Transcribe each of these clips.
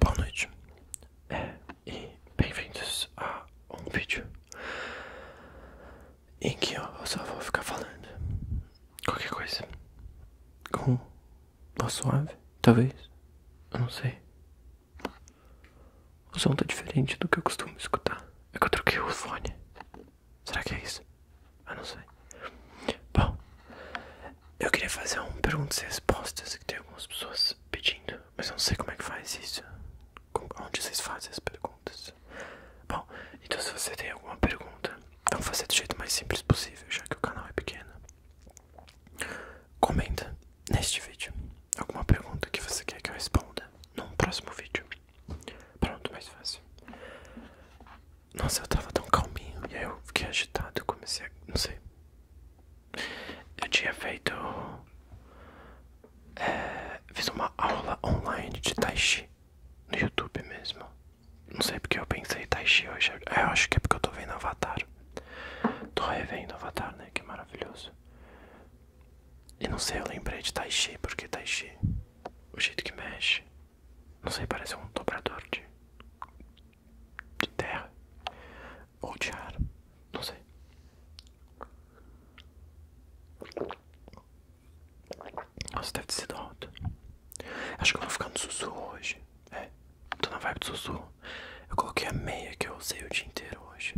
Boa noite. É, e bem-vindos a um vídeo em que eu só vou ficar falando qualquer coisa com voz suave, talvez, eu não sei. O som tá diferente do que eu costumo escutar. É que eu troquei o fone. Será que é isso? Eu não sei. Bom, eu queria fazer um perguntas e respostas que tem algumas pessoas pedindo, mas eu não sei como é que faz isso. Onde vocês fazem as perguntas? Bom, então se você tem alguma pergunta, então vamos fazer do jeito mais simples possível, já que o canal é pequeno. Comenta neste vídeo alguma pergunta que você quer que eu responda num próximo vídeo. Pronto, mais fácil. Nossa, eu tava tão calminho. E aí eu fiquei agitado comecei a. Não sei. Eu tinha feito. É, fiz uma aula online de Tai Chi. No YouTube mesmo. Não sei porque eu pensei Tai Chi hoje. É, eu acho que é porque eu tô vendo Avatar. Tô revendo Avatar, né? Que é maravilhoso. E não sei, eu lembrei de tai chi, porque tai chi, o jeito que mexe, não sei, parece um dobrador de, de terra ou de ar, não sei. Nossa, deve ter sido alto. Acho que eu vou ficar no sussurro hoje. É, tô na vibe do sussurro. Eu coloquei a meia que eu usei o dia inteiro hoje.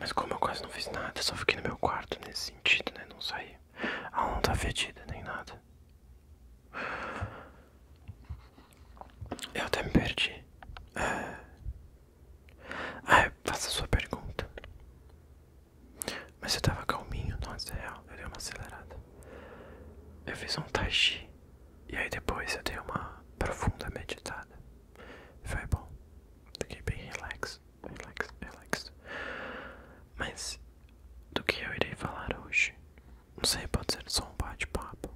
Mas como eu quase não fiz nada, só fiquei no meu quarto nesse sentido, né? Não saí. A aula não tá fedida, nem nada. Eu até me perdi. É... Ah, faça a sua pergunta. Mas eu tava calminho, nossa, é real. Eu dei uma acelerada. Eu fiz um tai chi. E aí depois eu dei uma profunda meditada. Foi bom. Fiquei bem relax relax, relax, Mas do que eu irei falar hoje? Não sei, pode ser só um bate-papo.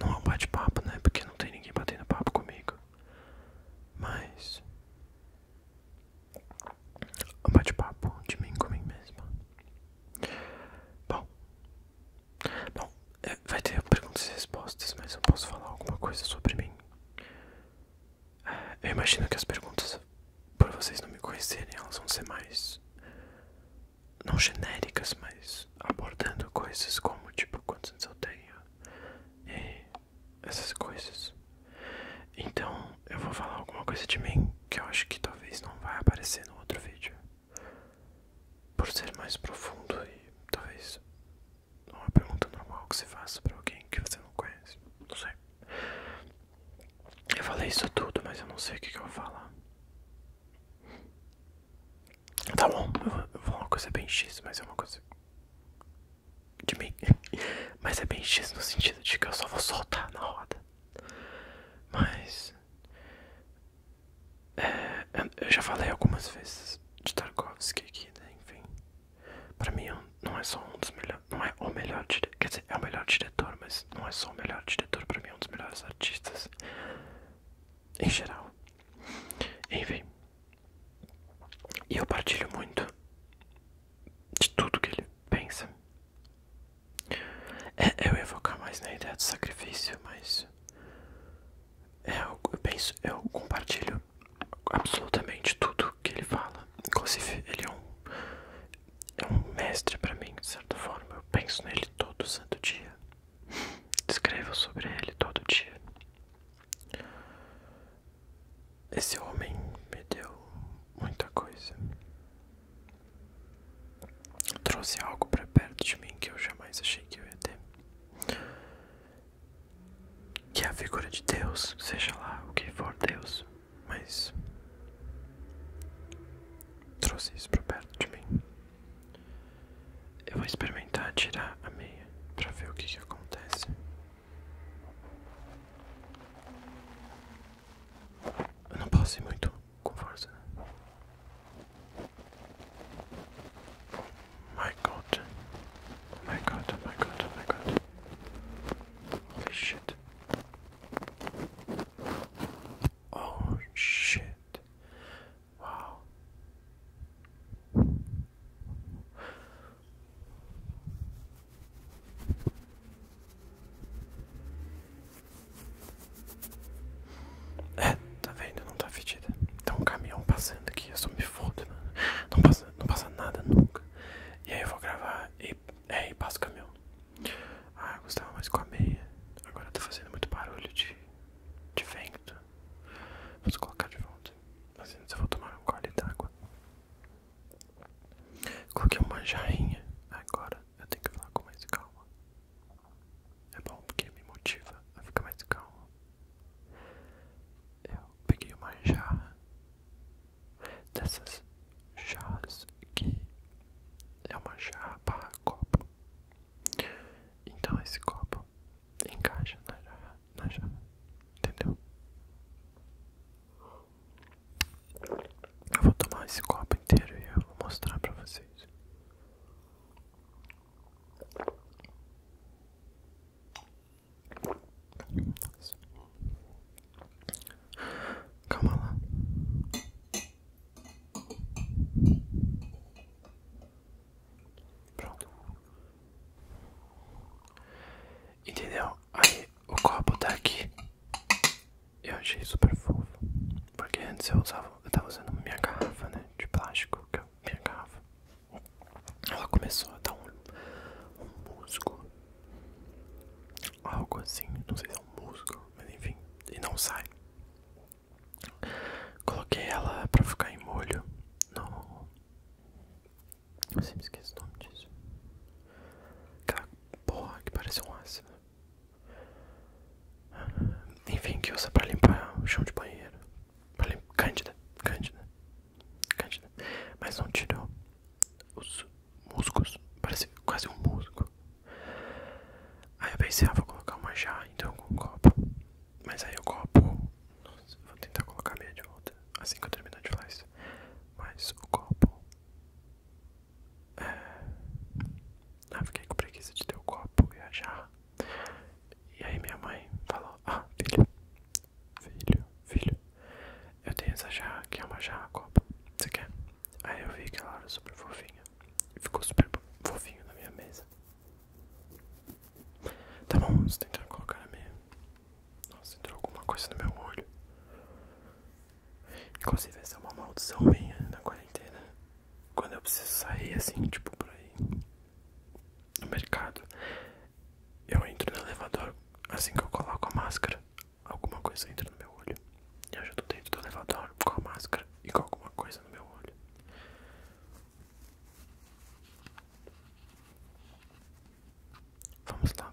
Não é um bate-papo, né? Porque não tem ninguém batendo papo comigo. Mas um bate-papo de mim comigo mesma. Bom, bom, é, vai ter perguntas e respostas, mas eu posso falar alguma coisa sobre mim eu imagino que as perguntas, por vocês não me conhecerem, elas vão ser mais. não genéricas, mas abordando coisas como, tipo, quantos anos eu tenho e essas coisas. Então, eu vou falar alguma coisa de mim que eu acho que talvez não vai aparecer no outro vídeo. Por ser mais profundo e talvez não é uma pergunta normal que você faça pra alguém que você não conhece. Não sei. Eu falei isso tudo, mas eu não sei o que, eu vou falar. Tá bom, vou, eu vou falar uma coisa bem X, mas é uma coisa. De mim. Mas é bem X no sentido de que eu só vou soltar na roda. Mas eu já falei algumas vezes de Tarkovsky aqui, né? enfim. Pra mim não é só um dos melhores. Não é o melhor diretor. Quer dizer, é o melhor diretor, mas não é só o melhor diretor, pra mim é um dos melhores artistas. Em geral. Enfim. E eu partilho muito de tudo que ele pensa. É, eu ia mais na ideia do sacrifício, mas é, eu, penso, eu compartilho absolutamente tudo que ele fala. Inclusive, ele é um, é um mestre para mim, de certa forma. Eu penso nele todo santo dia. Escrevo sobre ele todo dia. Esse homem me deu muita coisa. Trouxe algo para perto de mim que eu jamais achei que eu ia ter que a figura de Deus, seja lá o que for Deus, mas trouxe isso para perto de mim. Eu vou experimentar tirar a meia para ver o que, acontece. Eu não posso ir muito com força. Né? My god. Oh my god, my god, my god. Holy shit. Oh shit. Wow. É, tá vendo? Não tá fedida. Tem um caminhão passando aqui, eu só me fodo, né? Não passa, não passa nada nunca. E aí eu vou gravar e, é, passo o caminhão. Ah, eu gostava mais com a meia. Agora tá fazendo muito barulho de, vento. Vou colocar de volta. Mas antes eu vou tomar um gole d'água. Coloquei uma jarrinha. Agora eu tenho que falar com mais calma. É bom porque me motiva a ficar mais calmo. Eu peguei uma jarra dessas jarras que é uma jarra barra copo. Então esse copo encaixa na jarra, na jarra entendeu? Eu vou tomar esse copo inteiro e eu vou mostrar pra vocês. Calma lá. Pronto. Entendeu? Aí o copo tá aqui. Eu achei super fofo. Porque antes eu usava, eu tava usando minha garrafa, né? De plástico, que eu, é minha garrafa. Ela começou a dar um, um musgo. Algo assim, não sei se é um musgo, mas enfim, e não sai. Coloquei ela pra ficar em molho no. Eu sempre esqueço o nome disso. Aquela porra que parece um ácido. Enfim, que usa pra limpar o chão de banheiro. Pra limpar. Cândida, cândida, cândida. Mas não tirou os musgos. Parece quase um musgo. Aí eu pensei, ah, vou colocar uma jarra então com um copo. Mas aí o copo. vou tentar colocar meia de volta. Assim que eu terminar de falar isso. Mas o copo. É... Ah, fiquei com preguiça de ter o copo e a jarra. E aí minha mãe falou, ah, filho, filho, filho, eu tenho essa jarra, que é uma jarra copa, você quer? Aí eu vi que ela era super fofinha, e ficou super fofinho na minha mesa. Tá bom, você tem que colocar na minha... Nossa, entrou alguma coisa no meu olho. Inclusive essa é uma maldição minha na quarentena quando eu preciso sair assim, tipo por aí, no mercado, eu entro no elevador, assim que eu coloco a máscara, alguma coisa entra no meu olho. Eu já tô dentro do elevador com a máscara e com alguma coisa no meu olho. Vamos lá.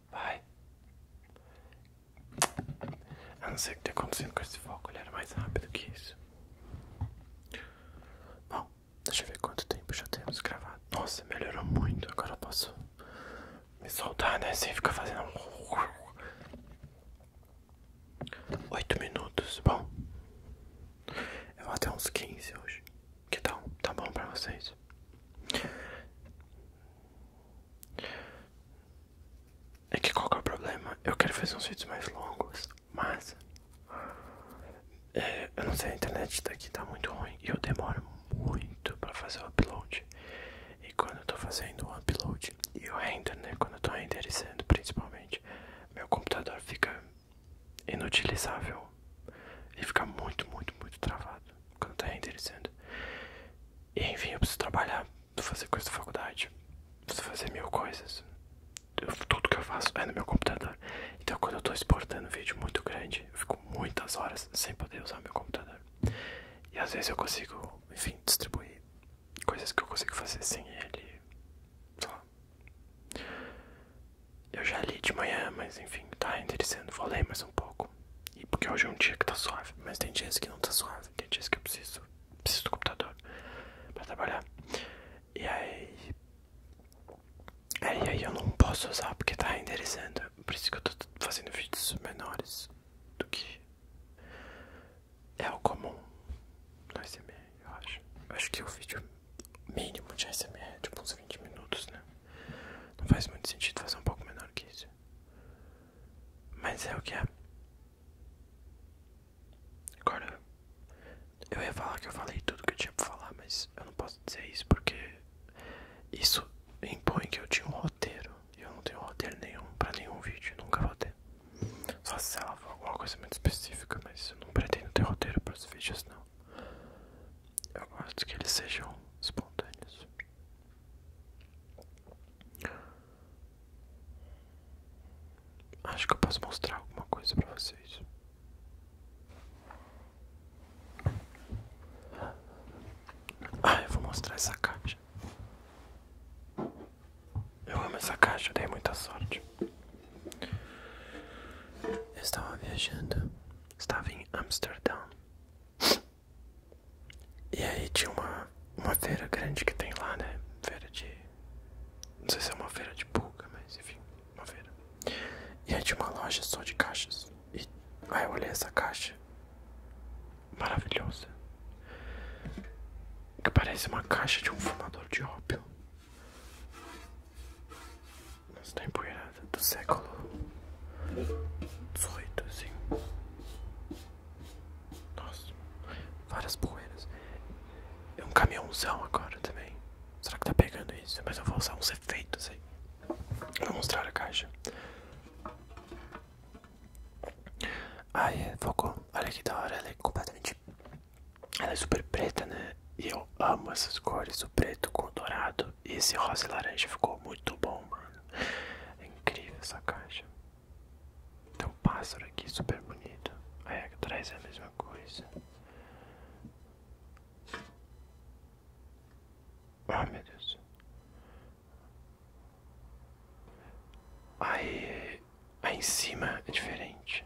Vai. A não ser o que tá acontecendo com esse foco, ele era mais rápido que isso. Bom, deixa eu ver quanto tempo já temos gravado. Nossa, melhorou muito. Agora eu posso me soltar, né? Sem ficar fazendo. 8 minutos. Bom, eu vou até uns 15 hoje. Que tal? Tá bom pra vocês? É que qual é o problema? Eu quero fazer uns vídeos mais longos, mas é, eu não sei, a internet daqui tá muito ruim e eu demoro muito pra fazer o upload. E quando eu tô fazendo o upload e o render, né? Quando eu tô renderizando principalmente, meu computador fica inutilizável. e fica muito, muito, muito travado quando não tá interessando. E enfim, eu preciso trabalhar, fazer coisa da faculdade, fazer mil coisas. tudo que eu faço é no meu computador. Então, quando eu tô exportando um vídeo muito grande, eu fico muitas horas sem poder usar meu computador. E às vezes eu consigo, enfim, distribuir coisas que eu consigo fazer sem ele. Eu já li de manhã, mas enfim, tá interessante. Vou ler mais um pouco. E porque hoje é um dia que tá suave, mas tem dias que não tá suave, tem dias que eu preciso, preciso do computador para trabalhar. E aí, e aí eu não posso usar porque tá renderizando, por isso que eu tô fazendo vídeos menores do que é o comum no SMR, eu acho. acho que o vídeo mínimo de SMR é tipo uns 20 minutos, né? Não faz muito sentido fazer um pouco menor que isso. Mas é o que é. Agora, eu ia falar que eu falei tudo que eu tinha pra falar, mas eu não posso dizer isso porque isso impõe que eu tinha um roteiro. E eu não tenho roteiro nenhum pra nenhum vídeo, nunca vou ter. Só se ela for alguma coisa muito específica, mas eu não pretendo ter roteiro pros vídeos, não. Eu gosto que eles sejam espontâneos. Acho que eu posso mostrar alguma coisa para vocês. Ah, eu vou mostrar essa caixa. Eu amo essa caixa, dei muita sorte. Eu estava viajando, estava em Amsterdã e aí tinha uma, uma feira grande que tem lá, né? Feira de. Não sei se é uma feira de pulga, mas enfim, uma feira. E aí tinha uma loja só de caixas. E aí eu olhei essa caixa. Maravilhosa. Que parece uma caixa de um fumador de ópio. Mas tem tá poeira do século XVIII, assim. Nossa, várias poeiras. É um caminhãozão agora também. Será que tá pegando isso? Mas eu vou usar uns efeitos aí. Vou mostrar a caixa. Ai, ah, focou. É, Olha que da hora, ela é completamente. Ela é super preta, né? E eu amo essas cores, o preto com o dourado. E esse rosa e laranja ficou muito bom, mano. É incrível essa caixa. Tem um pássaro aqui super bonito. Aí atrás é a mesma coisa. Ah, meu Deus. Aí, aí em cima é diferente.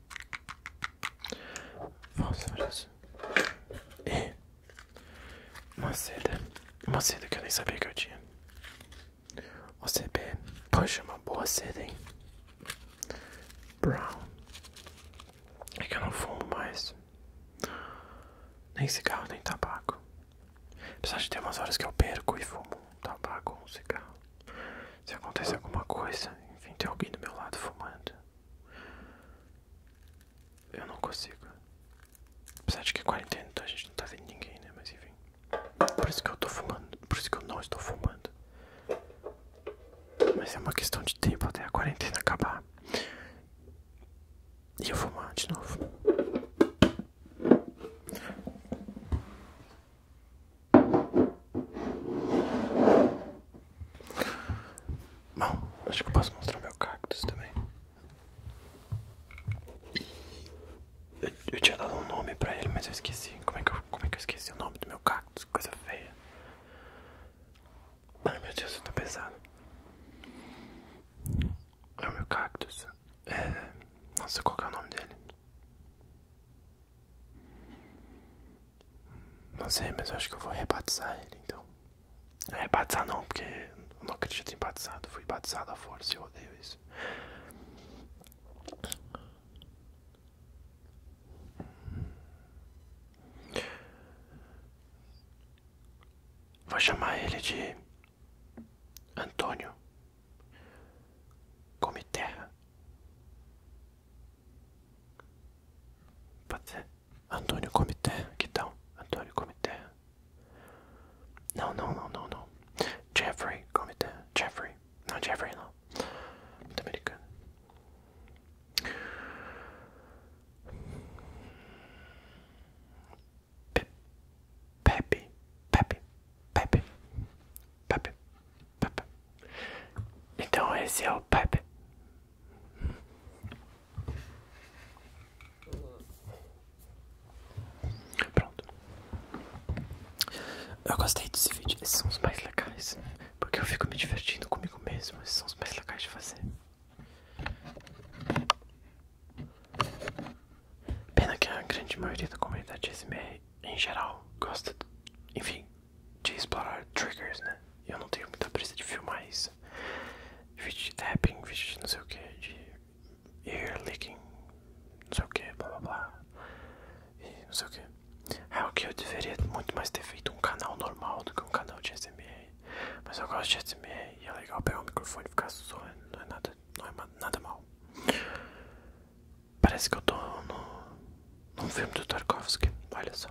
Vamos Fósforos e uma seda, uma seda que eu nem sabia que eu tinha. OCB, é, poxa, uma boa seda, hein? Brown, é que eu não fumo mais, nem cigarro, nem tabaco. Apesar de ter umas horas que eu perco e fumo um tabaco ou um cigarro. Se acontece alguma coisa, enfim, tem alguém do meu lado fumando. Eu não consigo. Apesar de que é quarentena, então a gente não tá vendo ninguém, né? Mas enfim. Por isso que eu tô fumando. Por isso que eu não estou fumando. Mas é uma questão de tempo até a quarentena acabar. E eu fumar de novo. Bom, acho que eu posso mostrar meu cactus também. Eu, tinha dado um nome pra ele, mas eu esqueci. Como é que eu, como é que eu esqueci o nome do meu cactus? Coisa feia. Ai meu Deus, eu tô pesado. É o meu cactus. É... Nossa, qual é o nome dele? Não sei, mas acho que eu vou rebatizar ele então. Rebatizar é, não, porque eu não acredito em batizado. Fui batizado à força e eu odeio isso. Vou chamar ele de Antônio Come Terra. Pode ser. Antônio Comité, que tal? Antônio Comité. Não, não, não, não, não. Jeffrey Comité. Jeffrey. Não, Jeffrey não. Muito americano. Pepe. Pepe. Pepe. Pap. Pap. Então esse é o pap. Pronto. Eu gostei desse vídeo. Esses são os mais legais. Né? Porque eu fico me divertindo comigo mesmo. Esses são os mais legais de fazer. Pena que a grande maioria da comunidade SMR em geral gosta, enfim, de explorar triggers, né? Eu não tenho muita pressa de filmar isso. Vídeo de tapping, vídeo de não sei o que, de ear licking, não sei o que, blá blá blá. E não sei o que. É o que eu deveria muito mais ter feito um canal normal do que um canal de SMR. Mas eu gosto de SMR e é legal pegar o microfone e ficar zoando, não é nada, não é nada mal. Parece que eu tô no, num filme do Tarkovsky. Olha só.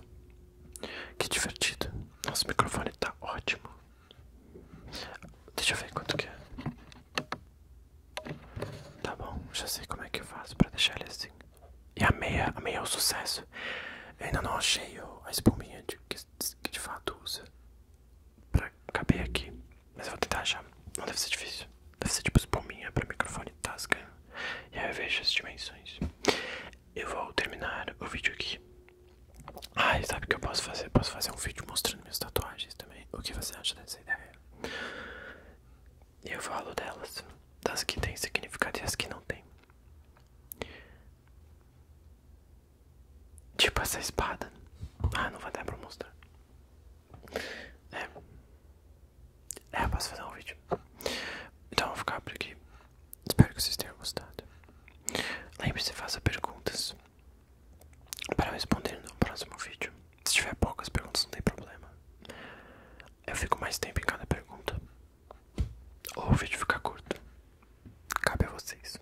Que divertido. Nosso microfone tá ótimo. Deixa eu ver quanto que é. Tá bom, já sei como é que eu faço pra deixar ele assim. E a meia, a meia é o sucesso. Eu ainda não achei a espuminha de, que, de fato usa pra caber aqui. Mas vou tentar achar. Não deve ser difícil. Deve ser tipo espuminha para microfone tasca. E aí eu vejo as dimensões. Eu vou terminar o vídeo aqui. Ai, sabe o que eu posso fazer? Posso fazer um vídeo mostrando minhas tatuagens também. O que você acha dessa ideia? Eu falo delas. Das que têm significado e as que não têm Tipo essa espada. Ah, não vai dar para mostrar. É. É, eu posso fazer um vídeo. Então vou ficar por aqui. Espero que vocês tenham gostado. Lembre-se, de fazer perguntas para responder no próximo vídeo. Se tiver poucas perguntas, não tem problema. Eu fico mais tempo em cada pergunta. Ou o vídeo fica curto. Cabe a vocês.